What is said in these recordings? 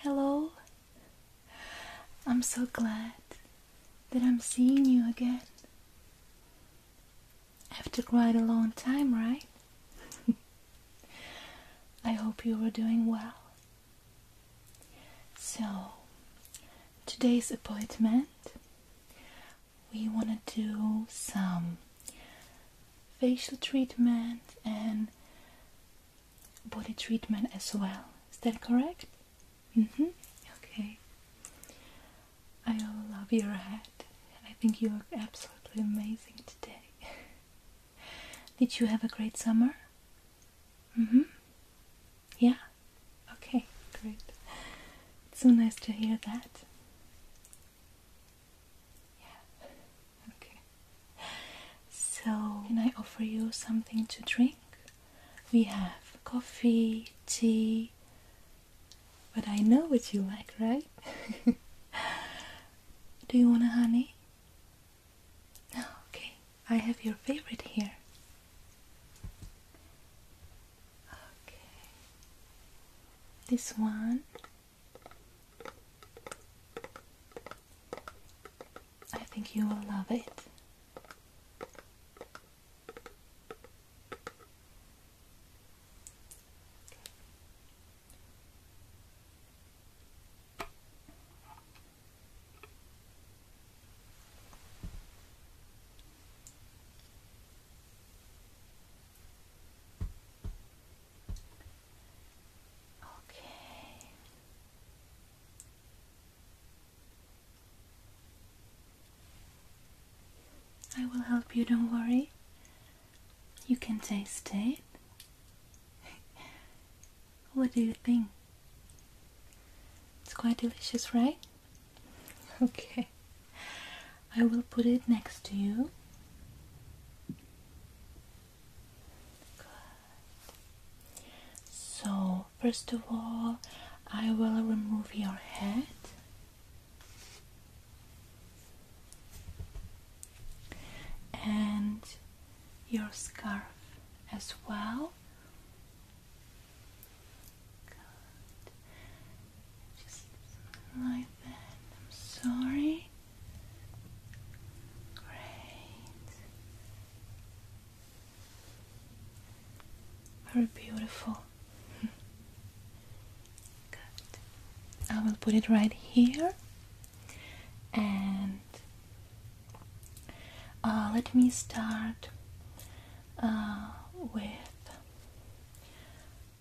Hello. I'm so glad that I'm seeing you again. After quite a long time, right? I hope you were doing well. So, today's appointment we want to do some facial treatment and body treatment as well. Is that correct? Mm-hmm. Okay. I love your head. I think you look absolutely amazing today. Did you have a great summer? Mm-hmm. Yeah. Okay, great. so nice to hear that. Yeah. Okay. So, can I offer you something to drink? We have coffee, tea, but I know what you like, right? Do you want a honey? No, okay. I have your favorite here. Okay. This one. I think you will love it. Okay. I will help you, don't worry. You can taste it. what do you think? It's quite delicious, right? Okay. I will put it next to you. So, first of all, I will remove your head. And your scarf as well. Just like that. I'm sorry. Great. Very beautiful. Good. I will put it right here. And uh, let me start uh, with.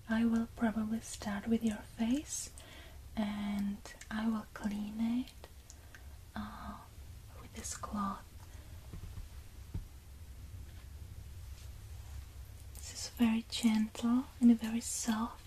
I will probably start with your face and I will clean it uh, with this cloth. This is very gentle and Very soft.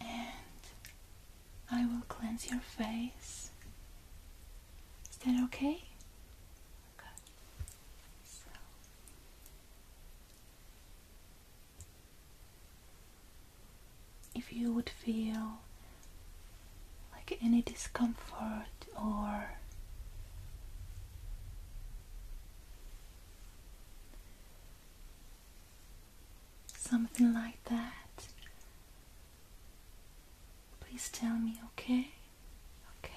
And I will cleanse your face. Is that okay? If you would feel like any discomfort or Something like that. Please tell me, okay? Okay.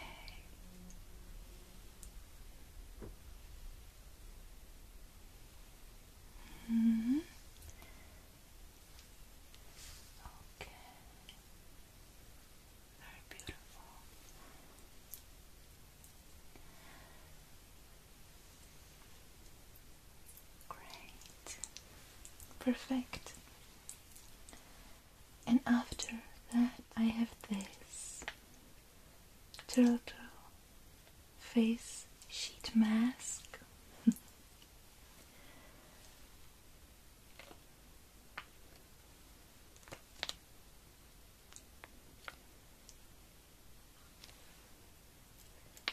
hmm. Okay very beautiful. Great, perfect. And after that, I have this turtle face sheet mask.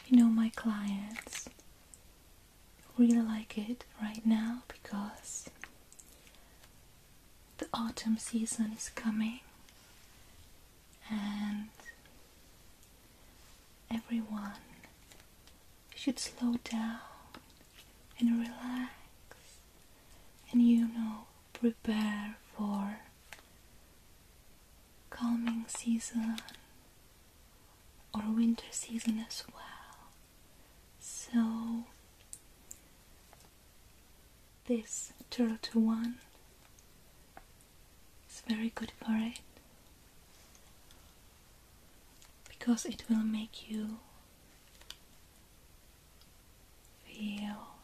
You know, my clients really like it right now because the autumn season is coming and everyone should slow down and relax and you know, prepare for coming season or winter season as well. So, this turtle to one is very good for it because it will make you feel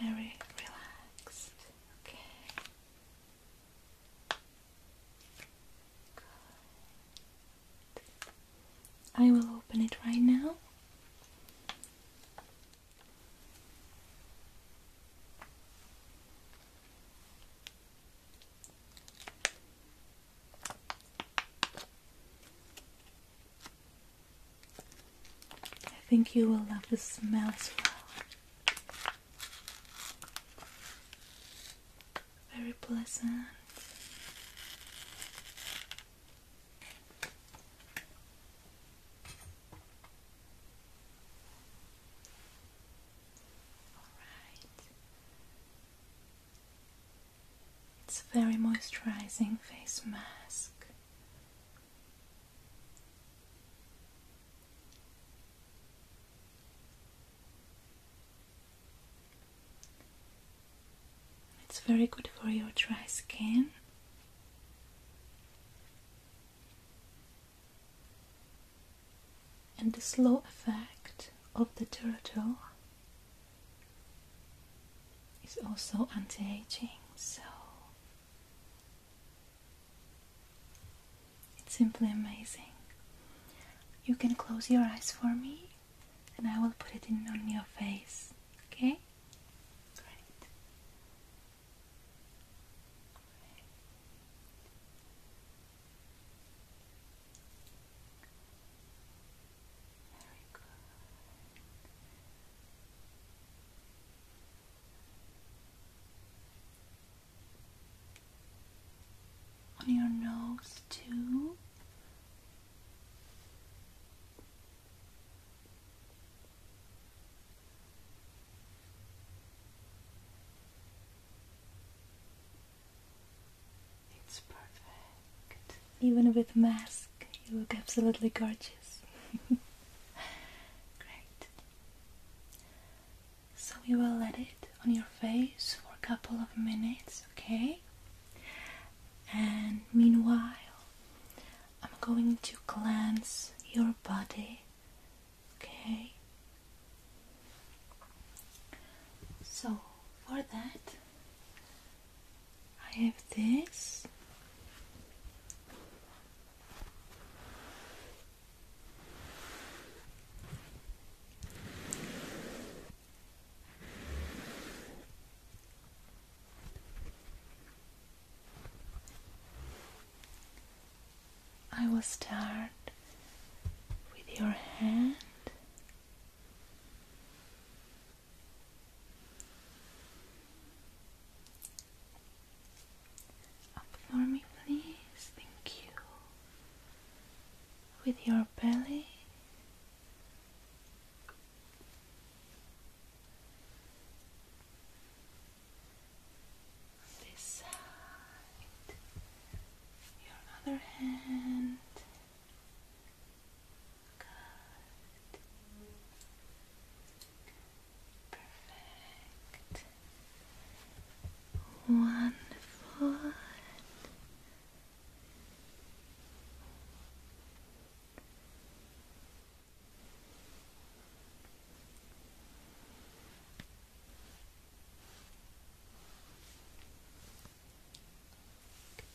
very relaxed. Okay. Good. I will open it right now. I think you will love the smell as well. Very pleasant. All right. It's a very moisturizing face mask. It's very good for your dry skin and the slow effect of the turtle is also anti-aging so it's simply amazing you can close your eyes for me and I will put it in on your face okay on your nose, too. It's perfect. Even with mask, you look absolutely gorgeous. Great. So we will let it on your face for a couple of minutes, okay? And meanwhile, I'm going to cleanse your body Okay. So for that, I have this. I will start with your hand. Up for me, please. Thank you. With your belly on this side, your other hand. Good. Perfect. Wonderful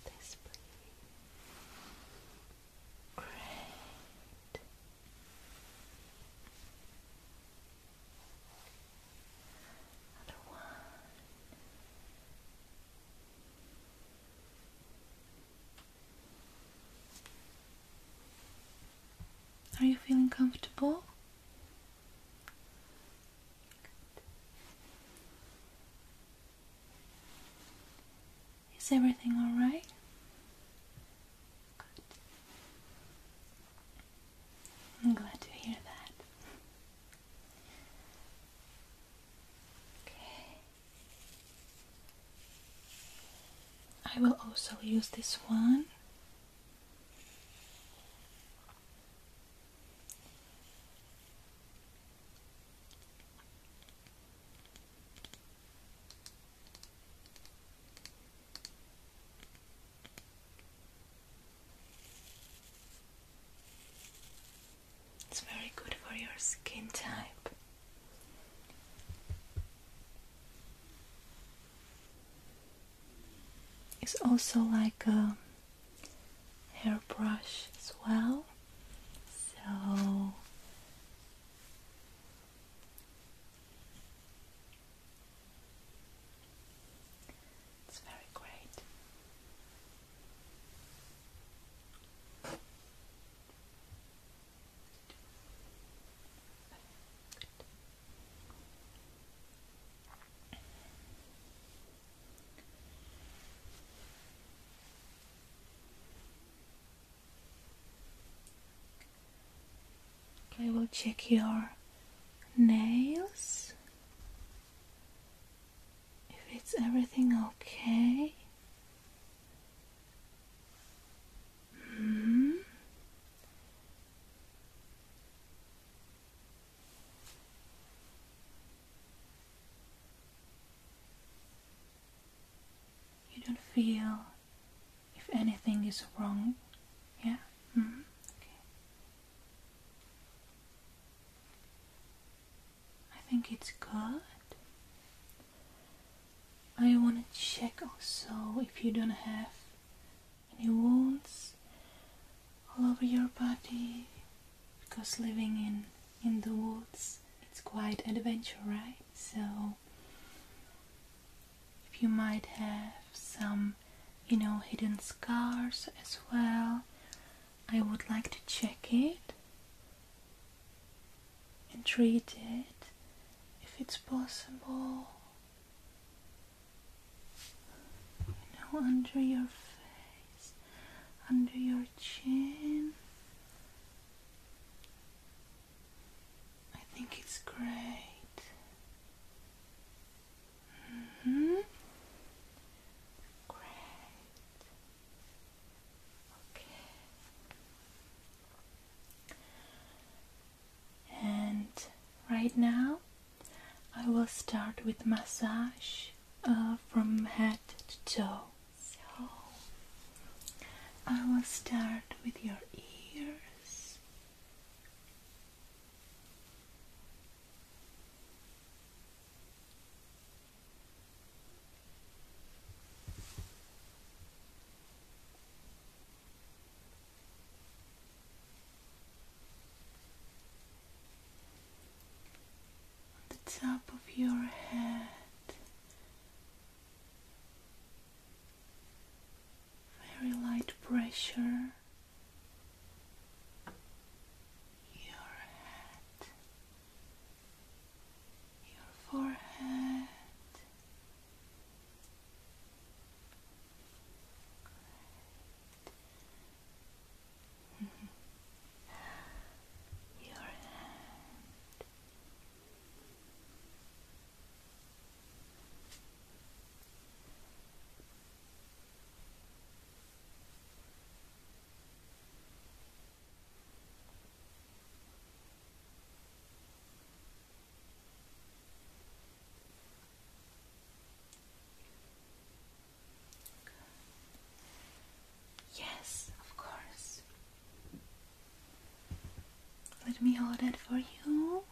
this, please. Great. Another one. Are you feeling comfortable? Is everything all right? I'm glad to hear that. Okay. I will also use this one it's very good for your skin type. It's also like a hairbrush as well. So it's very great. I will check your nails. If it's everything okay. Hmm? You don't feel if anything is wrong, yeah? Hmm? Okay. I think it's good. I want to check also if you don't have any wounds all over your body because living in in the woods it's quite adventure right so if you might have some you know hidden scars as well I would like to check it and treat it if it's possible now under your face, under your chin. I think it's great. hmm Great. Okay and right now I will start with massage uh, from head to toe. So I will start with your ears the top of your head. Very light pressure. Your head, your forehead, Good. Your hand. Your Yes, of course. Let me hold it for you.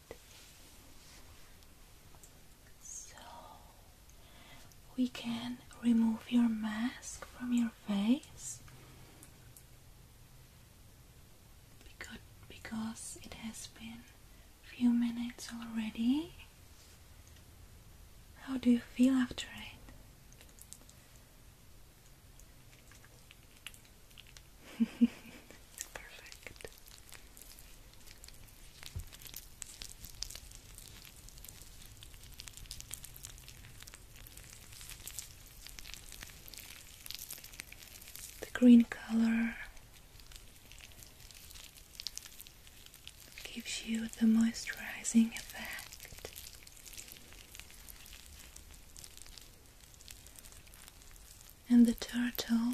So we can remove your mask from your face because, because it has been a few minutes already. How do you feel after it? Perfect. The green color gives you the moisturizing effect. And the turtle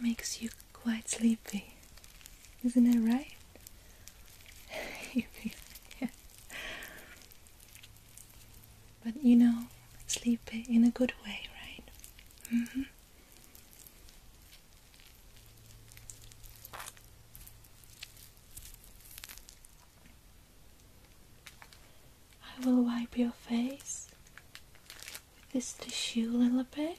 Makes you quite sleepy, isn't it right? But you know, sleepy in a good way, right? Mm-hmm. I will wipe your face with this tissue a little bit.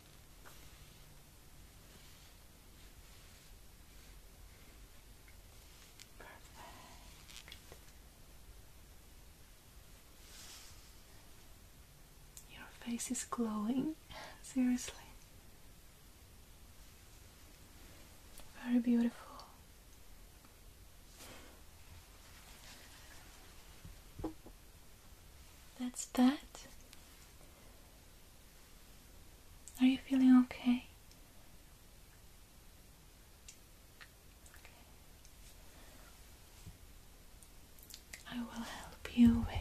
Perfect. Your face is glowing, seriously. Very beautiful. That's that. Are you feeling okay? I will help you with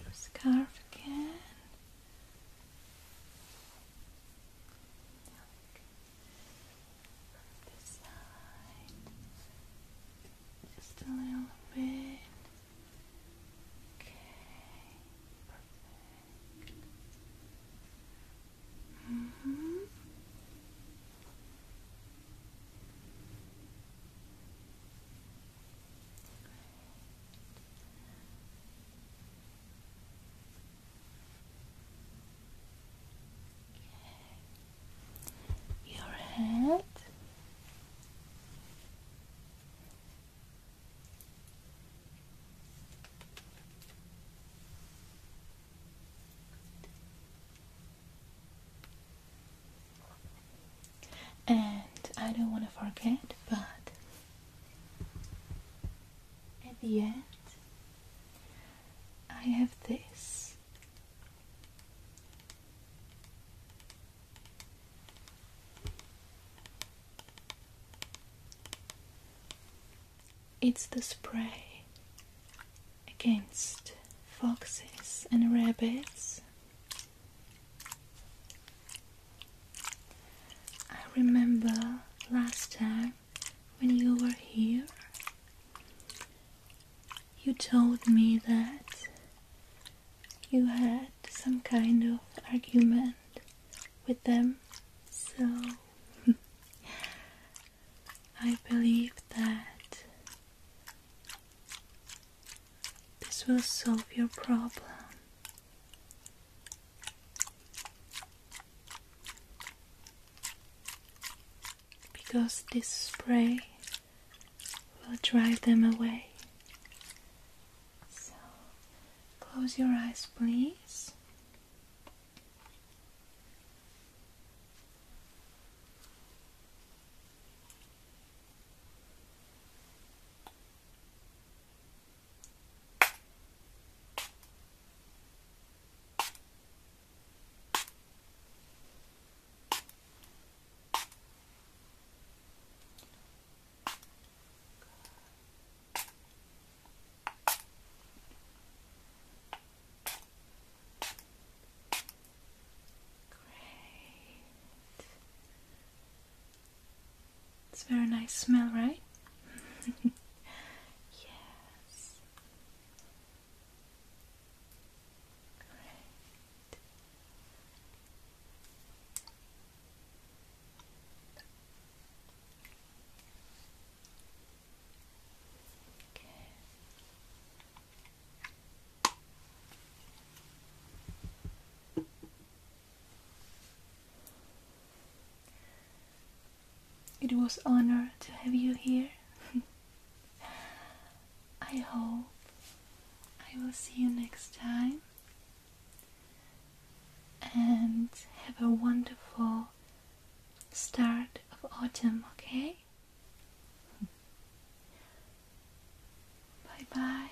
your scarf again this side, just a little bit. Okay, perfect. Mm -hmm. Great. Your head. And I don't want to forget, but at the end, I have this. It's the spray against foxes and rabbits. I remember last time when you were here, you told me that you had some kind of argument with them, so I believe that this will solve your problem because this spray will drive them away. So close your eyes, please. Great. It's a very nice smell, right? yes. Great. Okay. Okay. It was honor to have you here. I hope I will see you next time and have a wonderful start of autumn, okay? Bye bye.